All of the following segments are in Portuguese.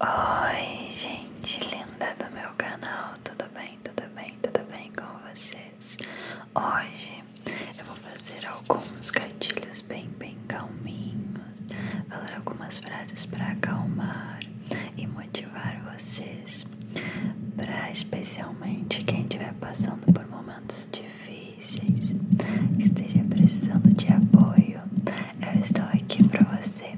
Oi, gente linda do meu canal, tudo bem, tudo bem, tudo bem com vocês? Hoje eu vou fazer alguns gatilhos bem, bem calminhos, falar algumas frases para acalmar e motivar vocês, para especialmente quem estiver passando por momentos difíceis, que esteja precisando de apoio, eu estou aqui para você.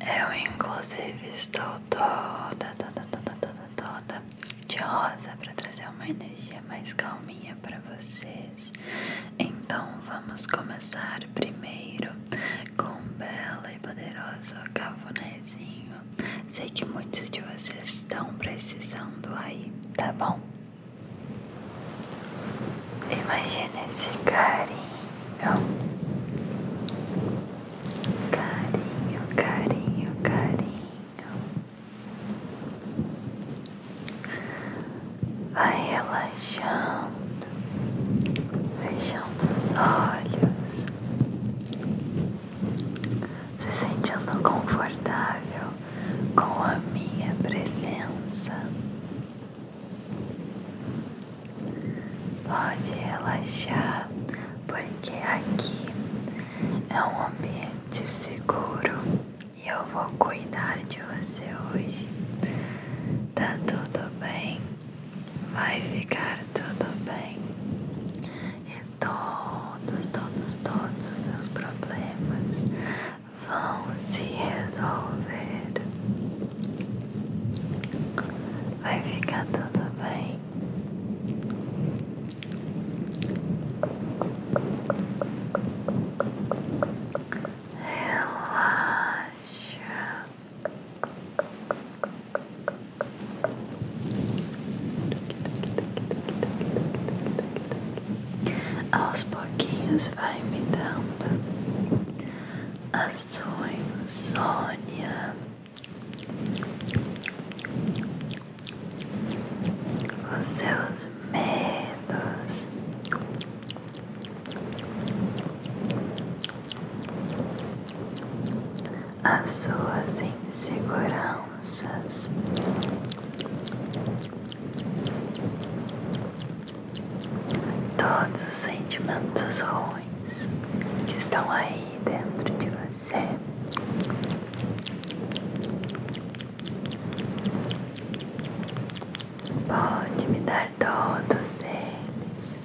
Eu, inclusive, estou toda, toda, toda, toda, toda de rosa para trazer uma energia mais calminha para vocês. Então, vamos começar primeiro com um belo e poderoso cafunézinho. Sei que muitos de vocês estão precisando aí, tá bom? Imagina esse carinho Carinho, carinho, carinho. Vai relaxando, fechando os olhos, se sentindo confortável com a minha presença. Pode relaxar, porque aqui é um ambiente seguro e eu vou cuidar de você hoje. Tá tudo bem? Vai ficar tudo bem. E todos, todos, todos os seus problemas vão se resolver. Vai ficar tudo bem. Relaxa. Aos pouquinhos vai me dando a sua insônia. Os seus medos, as suas inseguranças, todos os sentimentos ruins que estão aí dentro de você. Pode me dar todos eles.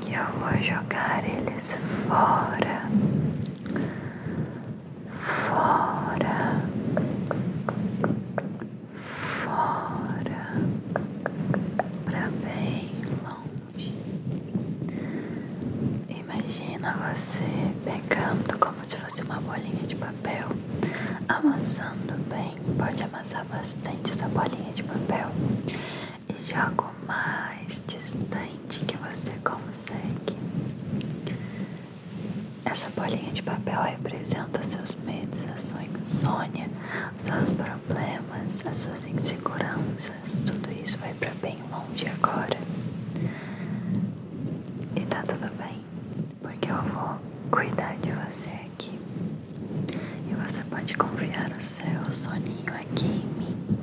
Que eu vou jogar eles fora fora, fora, para bem longe. Imagina você pegando como se fosse uma bolinha de papel, amassando bem, pode amassar bastante essa bolinha de papel e joga o mais distante que você consegue. Essa bolinha de papel representa os seus medos, a sua insônia, os seus problemas, as suas inseguranças. Tudo isso vai para bem longe agora. E tá tudo bem, porque eu vou cuidar de você aqui. E você pode confiar o seu soninho aqui em mim.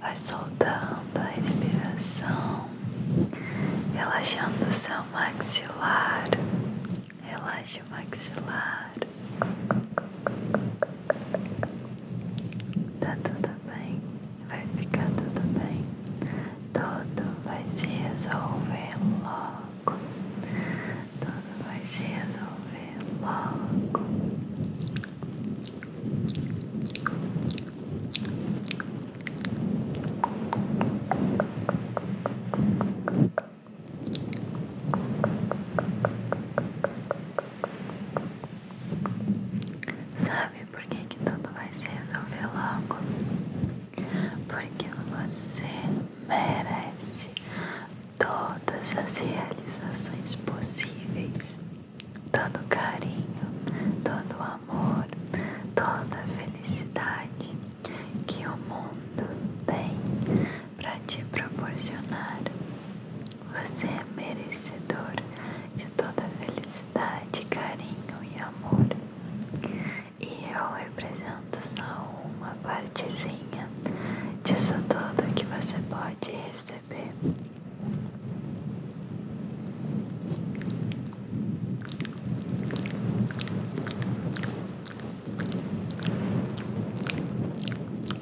Vai soltando a respiração, relaxando o seu maxilar relaxe o maxilar. Tá tudo bem, vai ficar tudo bem. Tudo vai se resolver logo. Tudo vai se resolver logo. Sabe por que, que tudo vai se resolver logo? Porque você merece todas as realizações possíveis, todo carinho, todo amor, toda felicidade que o mundo tem para te proporcionar. Você é merecedor de toda felicidade, carinho e amor. E eu represento só uma partezinha disso tudo que você pode receber.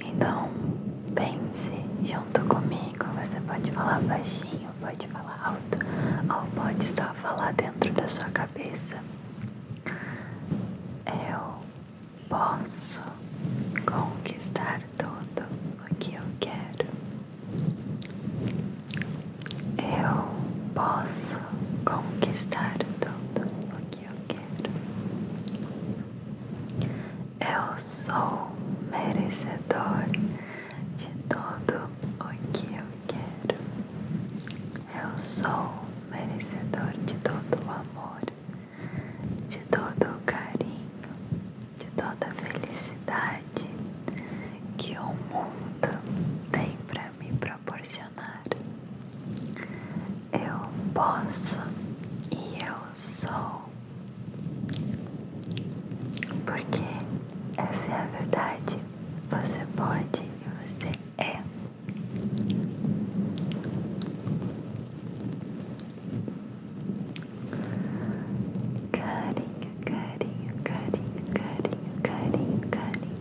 Então, pense junto comigo. Você pode falar baixinho, pode falar alto, ou pode só falar dentro da sua cabeça. Eu posso conquistar tudo o que eu quero. Eu posso conquistar tudo o que eu quero. Eu sou merecedor de tudo o que eu quero. Eu sou merecedor de todo o amor, de todo o carinho, de toda a felicidade que o mundo tem para me proporcionar proporcionar. Eu posso e eu sou. Porque essa é a verdade. Você pode e você é. Carinho, carinho, carinho, carinho, carinho, carinho.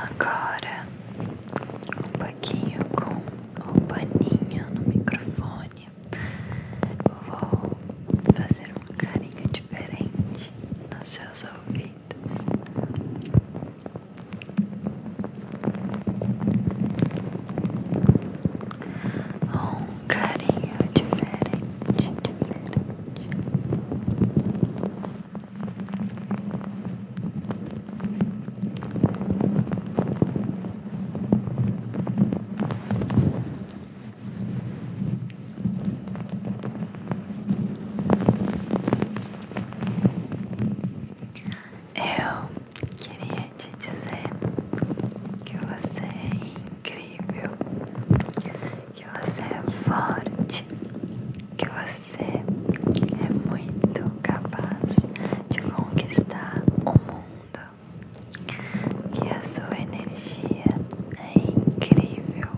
Agora um pouquinho com o paninho no microfone vou fazer um carinho diferente nos seus ouvidos. Um carinho diferente, diferente. Eu queria te dizer que você é incrível, que você é forte, que você é muito capaz de conquistar o mundo que a sua energia é incrível.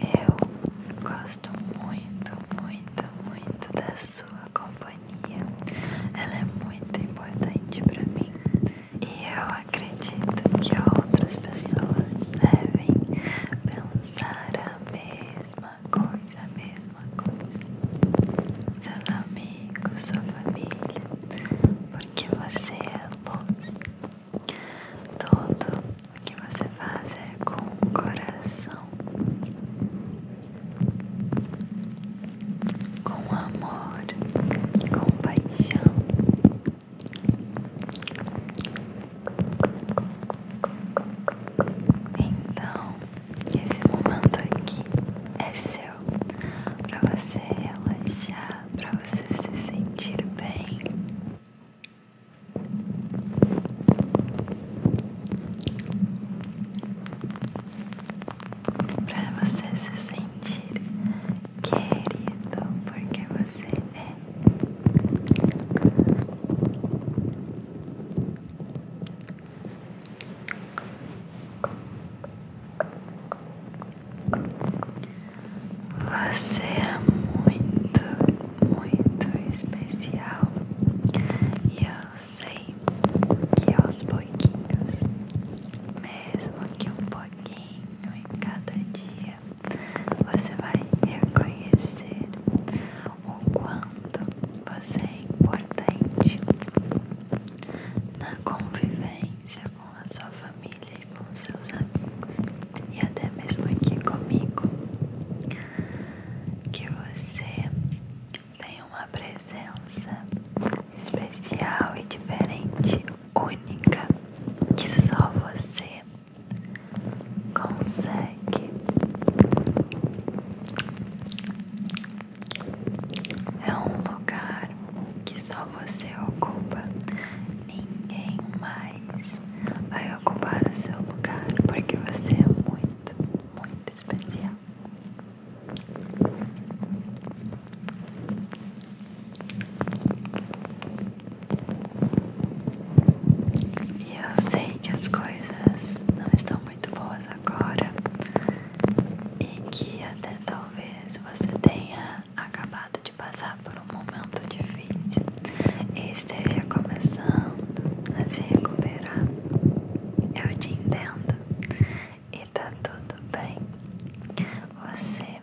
Eu gosto muito, muito, muito da sua companhia. Ela é muito importante para mim e eu acredito que outras pessoas devem pensar a mesma coisa, a mesma coisa. Seu nome amigos, sua família, porque você é luz. Tudo o que você faz é com coração, com amor, com paixão. Então, esse momento aqui é seu para você relaxar, para você se sentir bem. Para você se sentir querido, porque você é. Você é muito, muito especial e eu sei que aos pouquinhos, mesmo que um pouquinho em cada dia, você vai reconhecer o quanto você é importante na convivência com a sua família e com seus amigos, e até mesmo aqui comigo, que você tem uma presença especial e diferente, única, que só você consegue é um lugar que só você ocupa, ninguém mais vai ocupar o seu lugar porque você é muito, muito especial. E eu sei que as coisas não estão muito boas agora e que até talvez talvez é, você tenha acabado de passar por um momento difícil e esteja começando a se recuperar. Eu te entendo e tá tudo bem. Você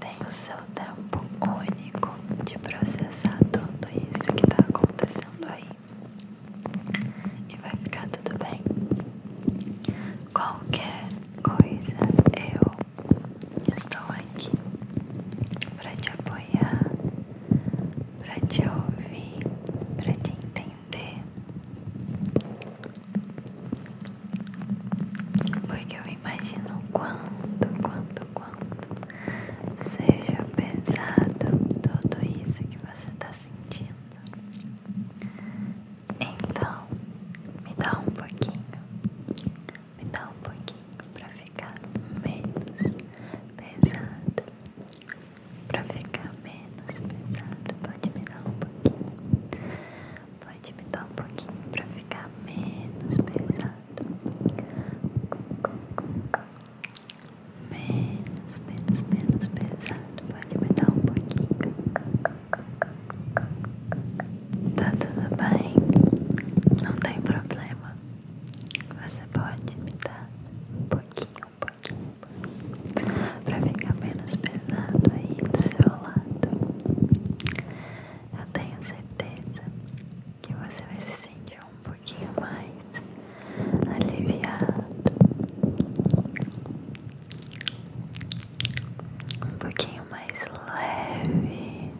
tem o seu tempo único de processar tudo isso que tá acontecendo aí. E vai ficar tudo bem. Qualquer coisa, eu estou aqui para te apoiar, para te ouvir, para te entender. Porque eu imagino quanto, quanto, quanto seja pesado tudo isso que você está sentindo. Então, me dá um pouquinho, me dá um pouquinho para ficar menos pesado, para ficar menos pesado. Pode me dar um pouquinho, pode me dar um pouquinho para ficar menos pesado, menos, menos, menos pesado. Pode me dar um pouquinho. Tá tudo bem? Não tem problema. Você pode me dar um pouquinho, um pouquinho, um pra ficar menos pesado aí do seu lado. Eu tenho certeza que você vai se sentir um pouquinho mais aliviado um pouquinho mais leve.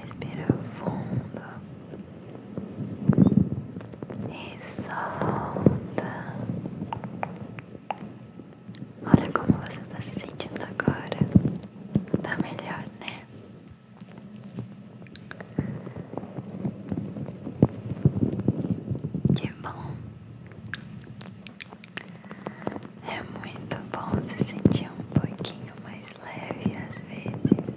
Respira fundo e solta. Olha como você tá se sentindo agora. Tá melhor, né? Que bom. É muito bom se sentir um pouquinho mais leve às vezes.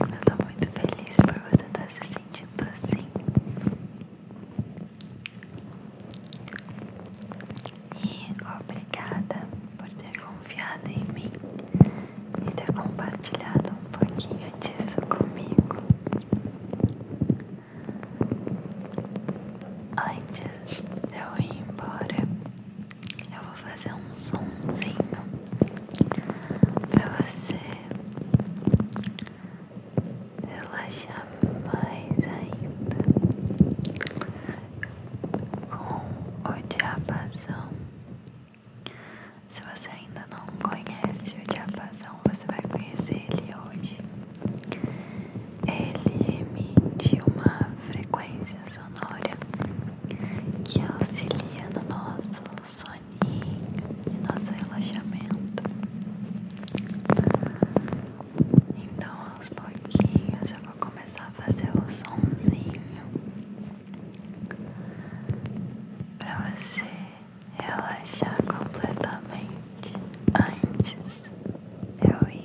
Eu tô muito feliz por você estar tá se sentindo assim. E obrigada por ter confiado em mim e ter compartilhado um pouquinho disso comigo. Antes de eu ir embora, eu vou fazer um somzinho para você relaxa mais ainda com o diapasão. Se você ainda não conhece o diapasão, você vai conhecer ele hoje. Ele emite uma frequência sonora que auxilia no nosso soninho e nosso relaxamento. Então, aos pouquinhos, eu vou começar a fazer o somzinho para você relaxar completamente antes de eu ir.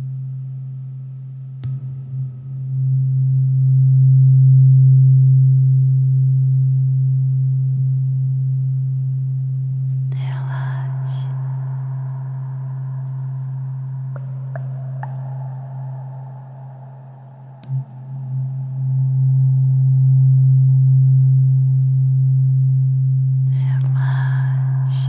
Relaxe. Relaxe.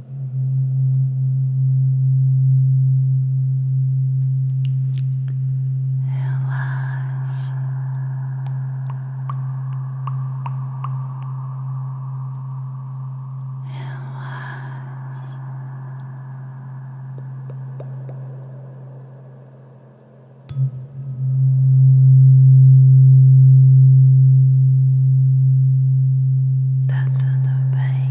Relaxa. Relaxa. Tá tudo bem.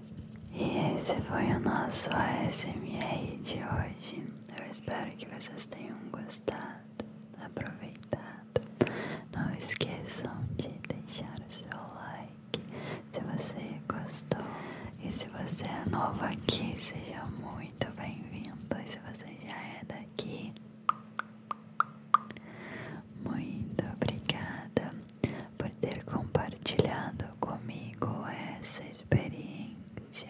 E esse foi o nosso ASMR de hoje. Eu espero que vocês tenham gostado, aproveitado. Não esqueçam de deixar o seu like se você gostou. E se você é novo aqui, seja muito bem-vindo. E se você já é daqui, muito obrigada por ter compartilhado comigo essa experiência.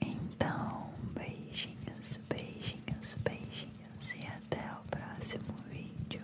Então, beijinhos, beijinhos, beijinhos e até o próximo vídeo.